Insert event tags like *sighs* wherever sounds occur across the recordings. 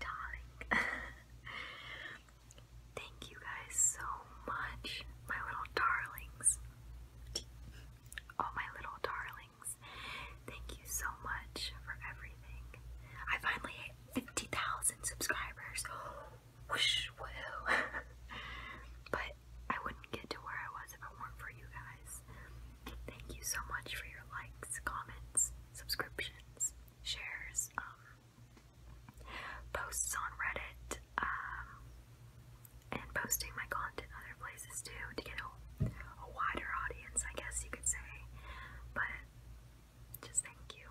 darling. *laughs* Thank you guys so much, my little darlings. All my little darlings. Thank you so much for everything. I finally hit 50,000 subscribers. *gasps* Whoosh, woo. *laughs* but I wouldn't get to where I was if it weren't for you guys. Thank you so much for your likes, comments, subscriptions, shares um, posts on Reddit, um, and posting my content other places too to get a, a wider audience, I guess you could say. But just thank you.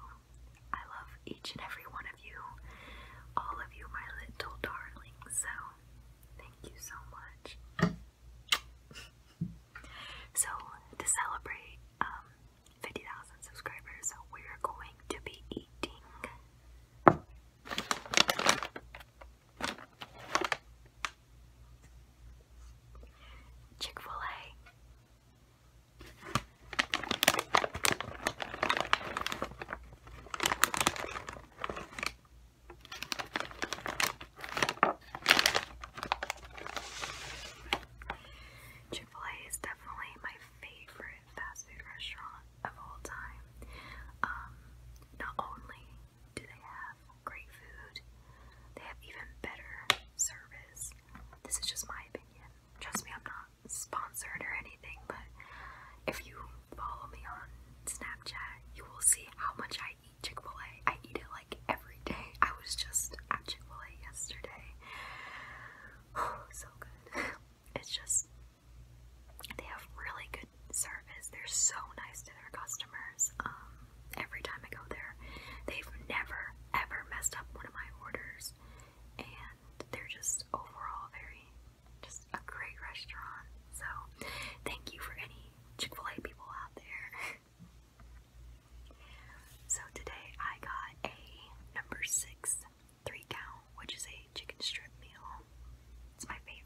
I love each and every one of you, all of you, my little darlings. So thank you so much. *laughs* So to celebrate um, 50,000 subscribers, we're going to be eating Chick-fil-A. Chick-fil-A is definitely my favorite fast food restaurant of all time. Um, not only do they have great food, they have even better service. This is just my opinion. Trust me, I'm not sponsored or anything, but if you follow me on Snapchat, you will see how much I eat Chick-fil-A. I eat it like every day. I was just at Chick fil A yesterday. Oh, *sighs* so good. *laughs* It's just, they have really good service. They're so nice to their customers. Um, every time I go there, they've never ever messed up one of my orders. And they're just overall very, just a great restaurant. So, thank you for any Chick fil A people out there. *laughs* So today I got a number six three count, which is a chicken strip meal. It's my favorite.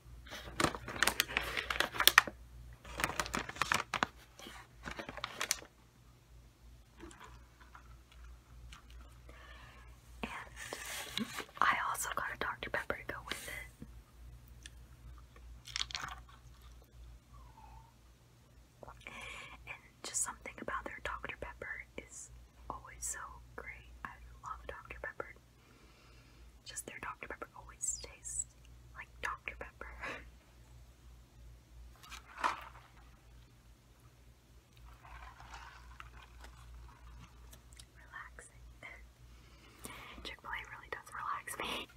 And I also got a Dr. Pepper to go with it. And just something about their Dr. Pepper is always so great. I love Dr. Pepper. Just their Dr. Pepper always tastes like Dr. Pepper. *laughs* Relaxing. *laughs* Chick-fil-A really does relax me.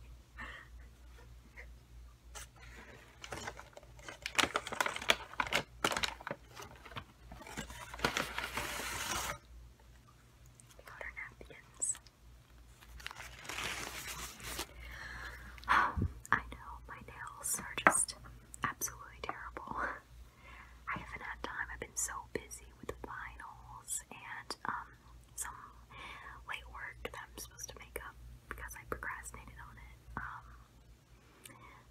We *laughs* our napkins. I know my nails are just absolutely terrible. I haven't had time. I've been so busy with finals and um, some late work that I'm supposed to make up because I procrastinated on it. Um,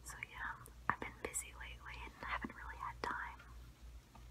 so yeah, I've been busy lately and haven't really had time.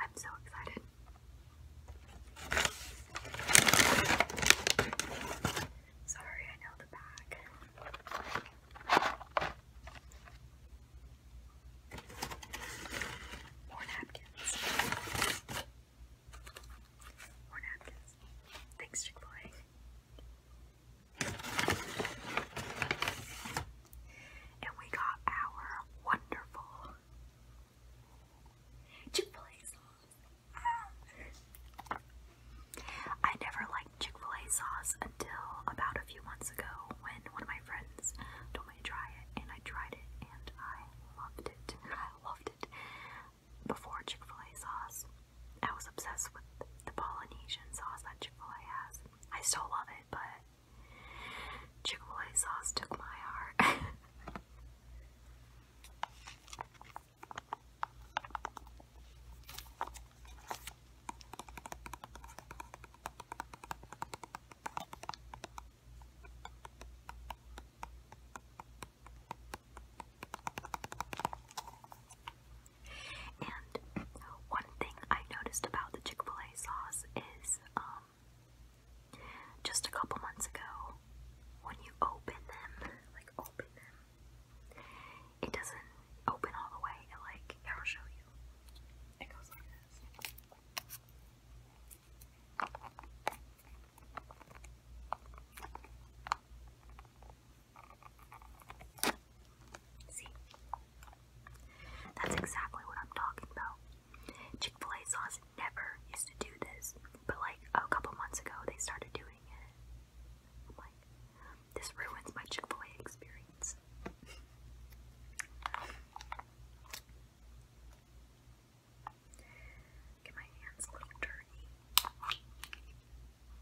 I'm so excited. Sorry, I know the bag. More napkins. More napkins. Thanks, Chick-fil-A. And we got our wonderful Chick-fil-A sauce. I never liked Chick-fil-A sauce until about a few months ago when one of my friends told me to try it and I tried it and I loved it. I loved it before Chick-fil-A sauce. I was obsessed with the Polynesian sauce that Chick-fil-A has. I still love it, but Chick-fil-A sauce took my heart. *laughs* And one thing I noticed about the Chick fil A sauce is um, just a couple months ago, when you open them, like open them, it doesn't open all the way. like, I'll show you. It goes like this. See? That's exactly what I'm talking about. Chick fil A sauce never used to do this, but like a couple months ago they started doing it. this ruins my Chick fil A experience. Get my hands a little dirty.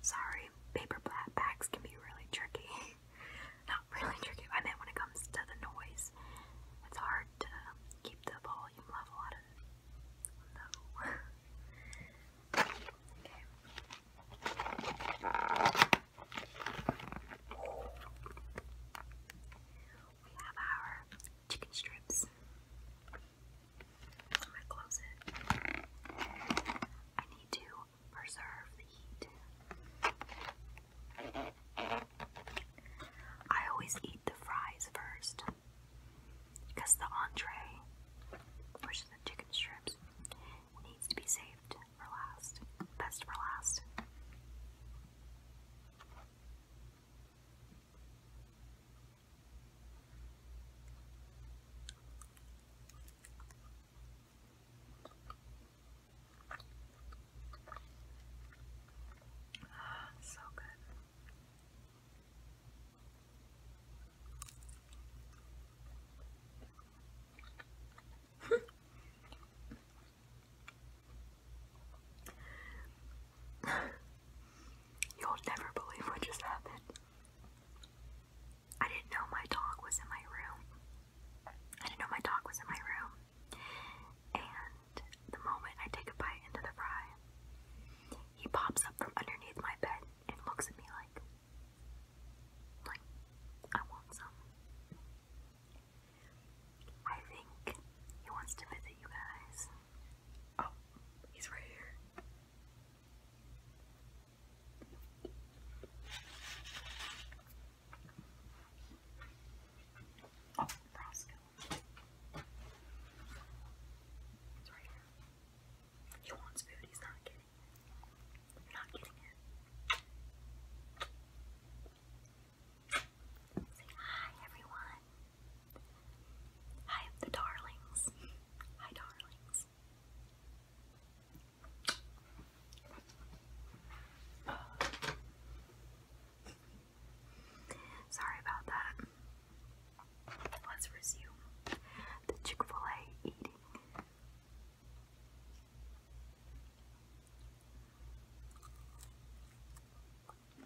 Sorry, paper bags can be really tricky. *laughs* Not really tricky, I meant when it comes to the noise. It's hard to keep the volume level out of *laughs* okay. We have our chicken strips. I'm gonna close it. I need to preserve the heat. I always eat the fries first because the entree, which is the chicken strips, needs to be saved for last. Best for last. Ah, *sighs* so good. *laughs* You'll never believe what just happened. I didn't know my dog was in my room. I didn't know my dog was in my room. And the moment I take a bite into the fry, he pops up from underneath my bed and looks at me like, like, I want some. I think he wants to visit you guys. Oh, oh he's right here. He wants food, he's not getting it. You're not getting it. Say hi, everyone. Hi, the darlings. Hi, darlings. Sorry about that. Let's resume the Chick fil A eating.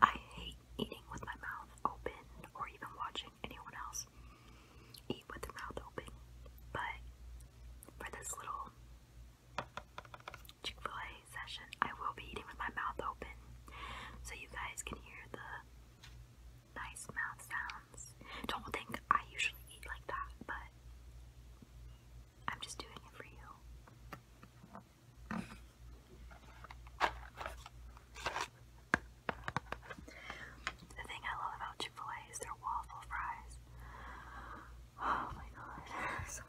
I hate eating with my mouth open or even watching anyone else eat with the mouth open. But for this little Chick fil A session, I will be eating with my mouth open so you guys can hear the nice mouth sounds. Don't think I usually eat like that, but I'm just doing it for you. The thing I love about Chick-fil-A is their waffle fries. Oh my god, *laughs*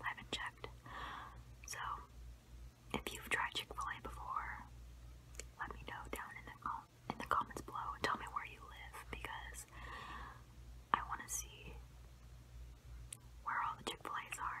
I haven't checked. So, if you've tried Chick-fil-A before, let me know down in the com in the comments below. Tell me where you live because I want to see where all the Chick-fil-A's are.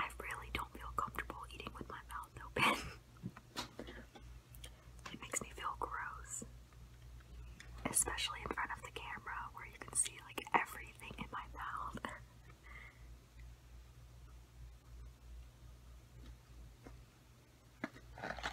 I really don't feel comfortable eating with my mouth open. *laughs* It makes me feel gross. Especially in front of the camera where you can see like everything in my mouth. *laughs*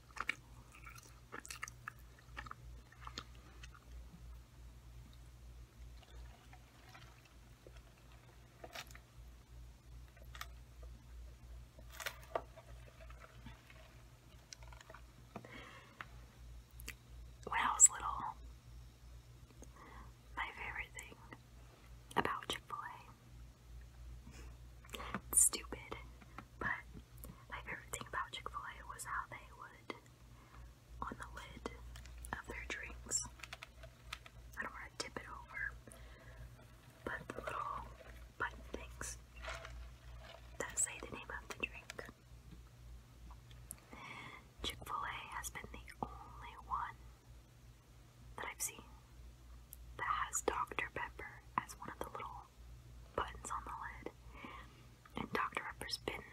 When I was little, my favorite thing about Chick stupid, but my favorite thing about Chick fil A was how they would, on the lid of their drinks, I don't want to tip it over, but the little button things that say the name of the drink. Chick fil A has been the only one that I've seen that has Dr. Pepper as one of the little buttons on the lid. And Dr. Pepper's been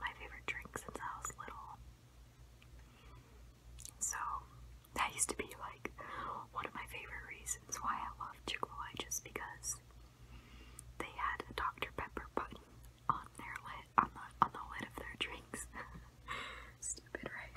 my favorite drink since I was little. So that used to be like one of my favorite reasons why I love Chick-fil-A just because they had a Dr. Pepper button on their lid on the lid of their drinks. *laughs* Stupid, right?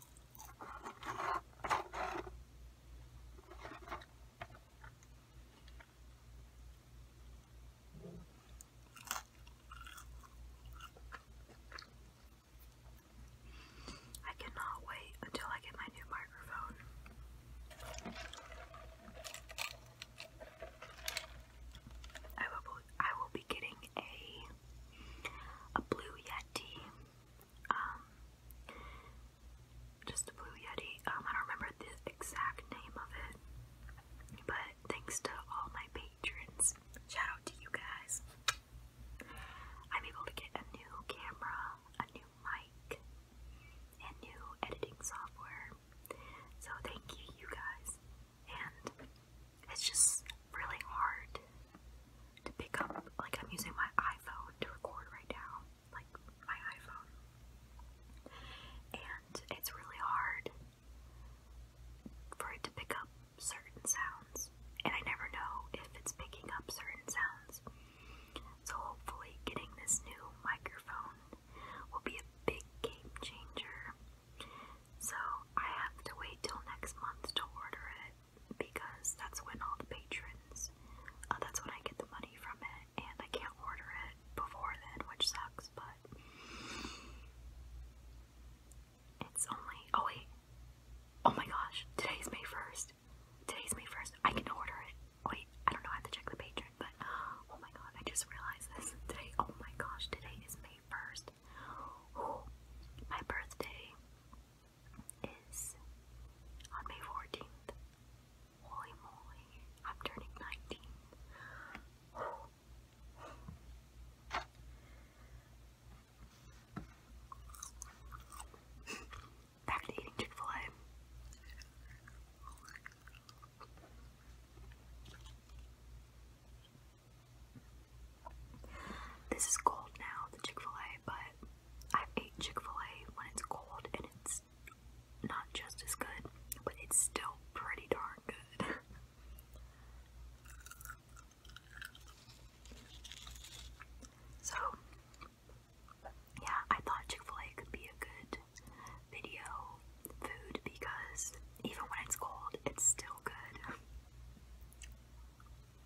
I cannot wait until I get my new microphone. I will I will be getting a a blue yeti um, just the Blue Yeti. Um, I don't remember the exact name of it, but thanks to all my patrons, shout out to you guys. I'm able to get a new camera, a new mic, and new editing software. So thank you, you guys. And it's just really hard to pick up, like I'm using my iPhone to record right now, like my iPhone. And it's really hard for it to pick up certain sounds, and I never know if it's picking up certain sounds. So, hopefully, getting this new microphone will be a big game changer. So, I have to wait till next month to order it because that's when all the patrons, uh, that's when I get the money from it, and I can't order it before then, which sucks, but it's only, oh wait, oh my gosh, today's May 1st, today's May 1st, I can order it, wait, I don't know, I have to check the patron, but, oh my god, I just realized this, today, oh my gosh, today is May 1st, oh, my birthday is on May 14th. Holy moly, I'm turning 19. Back to eating Chick fil A. This is cold now, the Chick-fil-A, but i ate Chick-fil-A when it's cold and it's not just as good, but it's still pretty darn good. *laughs* so, yeah, I thought Chick-fil-A could be a good video food because even when it's cold, it's still good.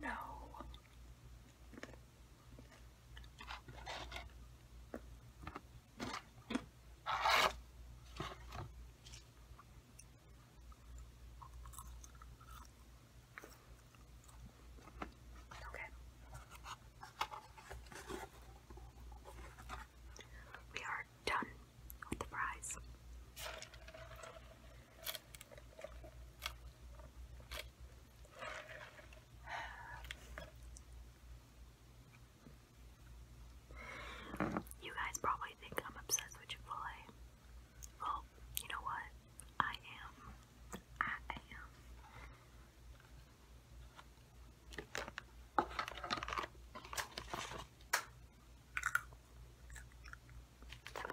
No. Okay. We are done with the fries. You guys probably think I'm obsessed with Chick Well, you know what? I am. I am.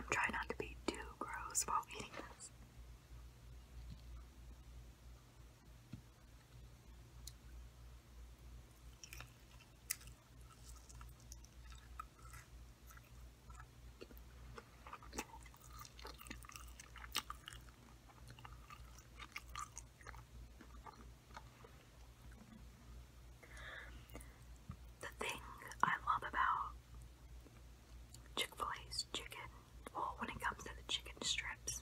I'm trying not to be too gross while eating this. The thing I love about Chick-fil-A's chicken, well when it comes to the chicken strips,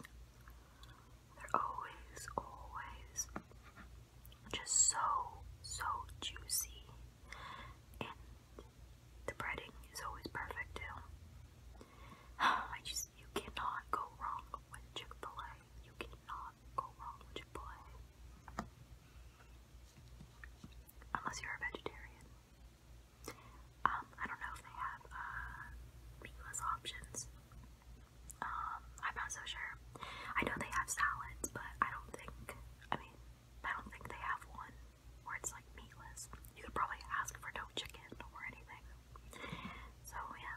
they're always, always just so, so juicy the breading is always perfect too. *sighs* I just you cannot go wrong with Chick-fil-A. You cannot go wrong with Chick-fil-A. Unless you're a vegetarian. Um, I don't know if they have uh meatless options. Um, I'm not so sure. I know they have salads, but I don't think I mean I don't think they have one where it's like meatless. You could probably ask for no chicken or anything. So yeah.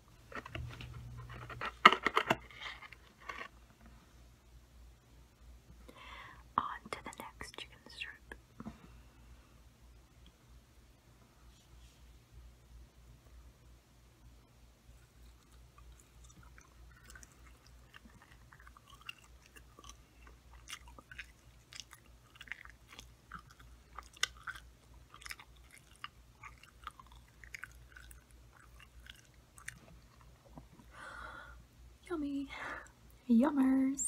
On to the next chicken strip. Yummy. Yummers.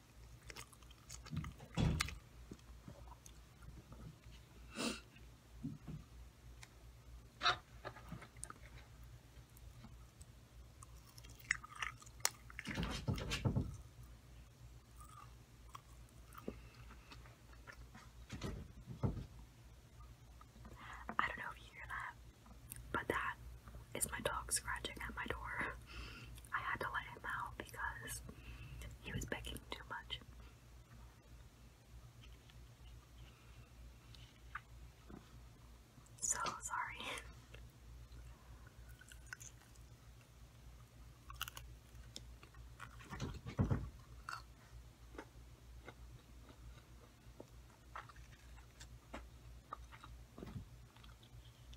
I don't know if you hear that. But that is my dog scratching at my door. I had to let him out because he was begging too much. So sorry.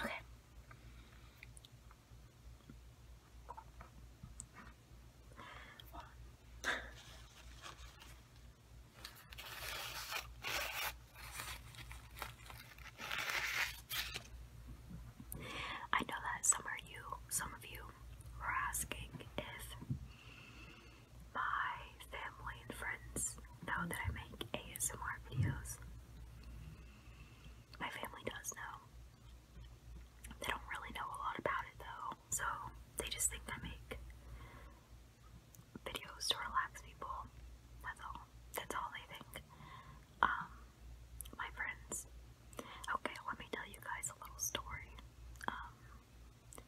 Okay. I know that some of you, some of you were asking if my family and friends know that I make ASMR videos. My family does know. They don't really know a lot about it though, so they just think I make videos to relax people. That's all. That's all they think. Um, my friends. Okay, let me tell you guys a little story. Um,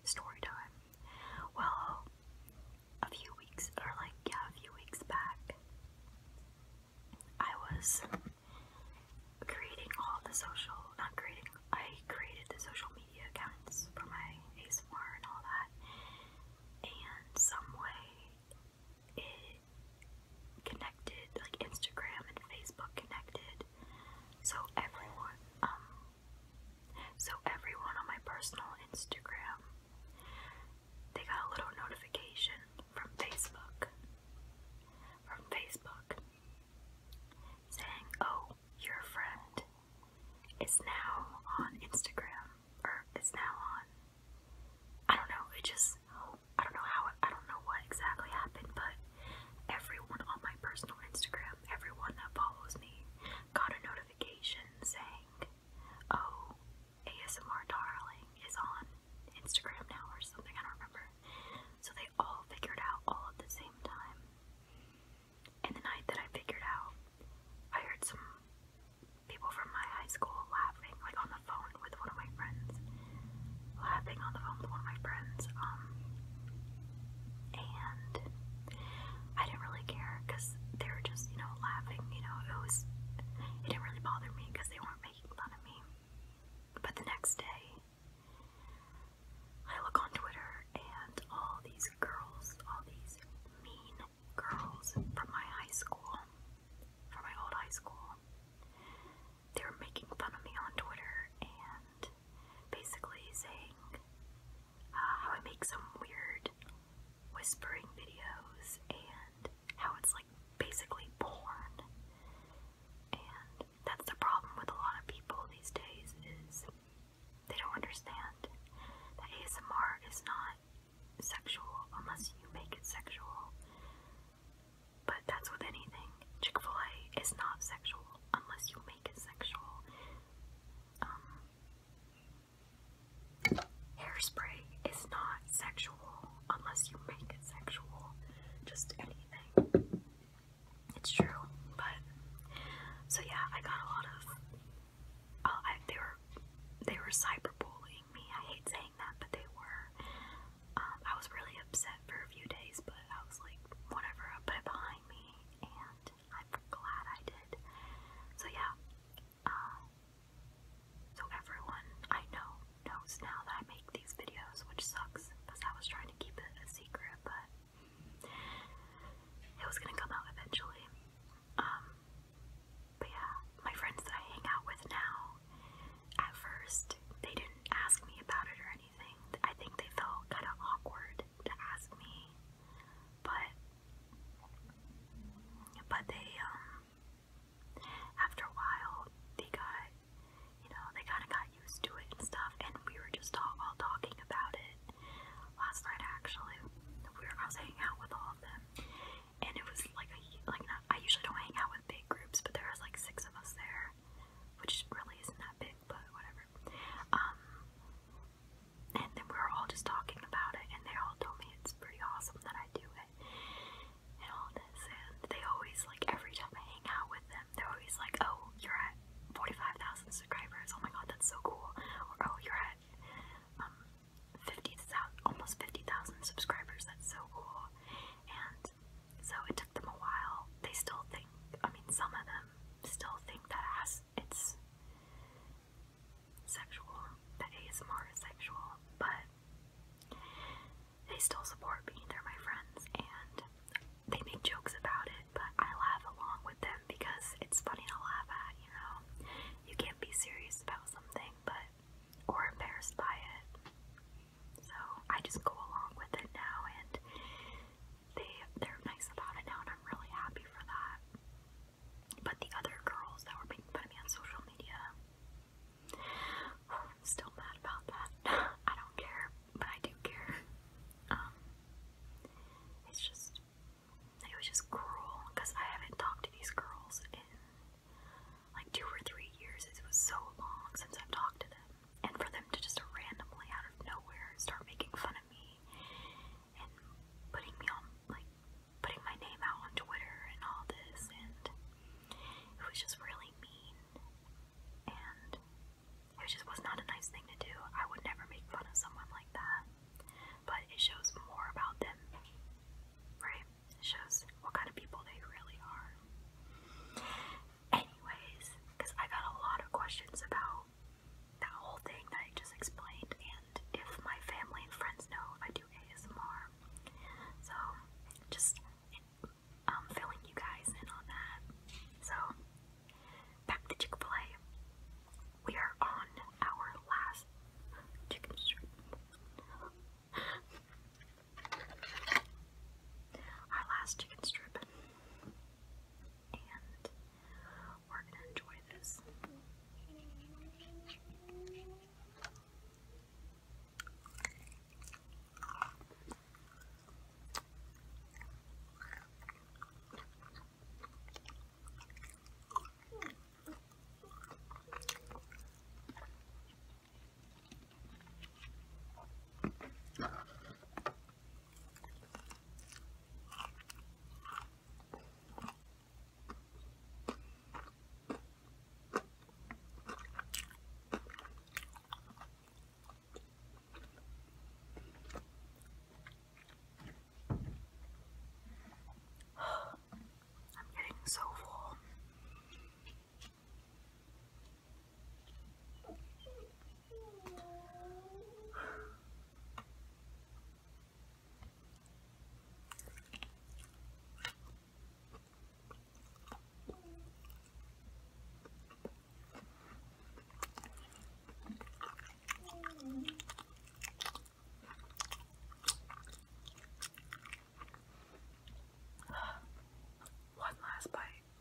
story time. Well, a few weeks, or like, yeah, a few weeks back, I was creating all the social, not creating, I created the social media accounts for my ASMR and all that, and some way it connected, like Instagram and Facebook connected, so everyone, um, so everyone on my personal Instagram, they got a little notification from Facebook. From Facebook saying, "Oh, your friend is now on Instagram or is now on I don't know, it just I don't know how I don't know what exactly happened, but Everyone on my personal Instagram, everyone that follows me, got a notification saying, Oh, ASMR Darling is on Instagram now or something, I don't remember. So they all figured out all at the same time. And the night that I figured out, I heard some people from my high school laughing, like on the phone with one of my friends. Laughing on the phone with one of my friends. Um, and I didn't really care because they were just, you know, laughing. You know, it was, it didn't really bother me because they weren't making fun of me. But the next day, I look on Twitter and all these girls, all these mean girls from my high school, from my old high school, they were making fun of me on Twitter and basically saying uh, how I make some weird whispering videos and how it's like basically porn. And that's the problem with a lot of people these days is they don't understand that ASMR is not sexual unless you make it sexual. But that's with anything. Chick-fil-A is not sexual unless you make it sexual. Um, hairspray is not sexual unless you make it sexual. Just anything. It's true, but so yeah, I got a lot of. Uh, I, they were they were cyberbullying me. I hate saying that, but they were. Um, I was really upset for a few days, but I was like, whatever. I put it behind me and I'm glad I did. So yeah, um, so everyone I know knows now that I make these videos, which sucks because I was trying to keep it a secret, but it was gonna come out eventually. Um, but yeah, my friends that I hang out with now, at first, they didn't ask me about it or anything anything. I think they felt kind of awkward to ask me, but but they um after a while they got you know they kind of got used to it and stuff, and we were just all, all talking about it last night. Actually, we were I was hanging out with all of them, and it was like a like not, I usually don't hang out with big groups, but there was like six of us there, which really isn't that big but whatever. Um, and then we were all just talking about it, and they all told me it's pretty awesome that I do it and all this. And they always, like, every time I hang out with them, they're always like, oh, you're at 45,000 subscribers. Oh my god, that's so cool. Or, oh, you're at um, 50, almost 50,000 subscribers. That's so cool. And so it took them a while. They still think, I mean, some of them still think that as it's sexual, that ASMR is sexual, but they still support me. They're my friends and they make jokes about it, but I laugh along with them because it's funny to laugh at, you know? You can't be serious about something, but, or embarrassed by it. So I just go along with it now and they they're nice about it now, and I'm really happy for that. But the other girls that were making fun of me on social media, *sighs* I'm still mad about that. *laughs* I don't care, but I do care. Um, it's just it was just cruel because I haven't talked to these girls in like two or three years. It was so long since I've talked to them and for them to just randomly out of nowhere start making fun of me and putting me on like putting my name out on Twitter and all this and it was just really mean and it just was not a nice thing to do. I would never make fun of someone like that. But it shows more about them. Right? It shows what kind of people they really are anyways, because I got a lot of questions about that whole thing that I just explained, and if my family and friends know I do ASMR. So, just um, filling you guys in on that. So, back to Chick fil A. We are on our last chicken strip. Our last chicken strip and we're going to enjoy this. I'm getting so full. One last bite.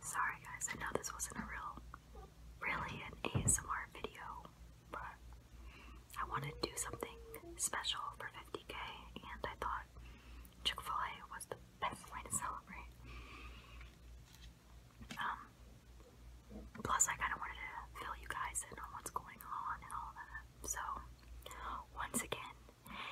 Sorry guys, I know this wasn't a real, really an ASMR video, but I wanted to do something special for 50k and I thought Chick-fil-A was the best way to celebrate. Um, plus I kind of wanted to fill you guys in on what's going on and all that. So, once again,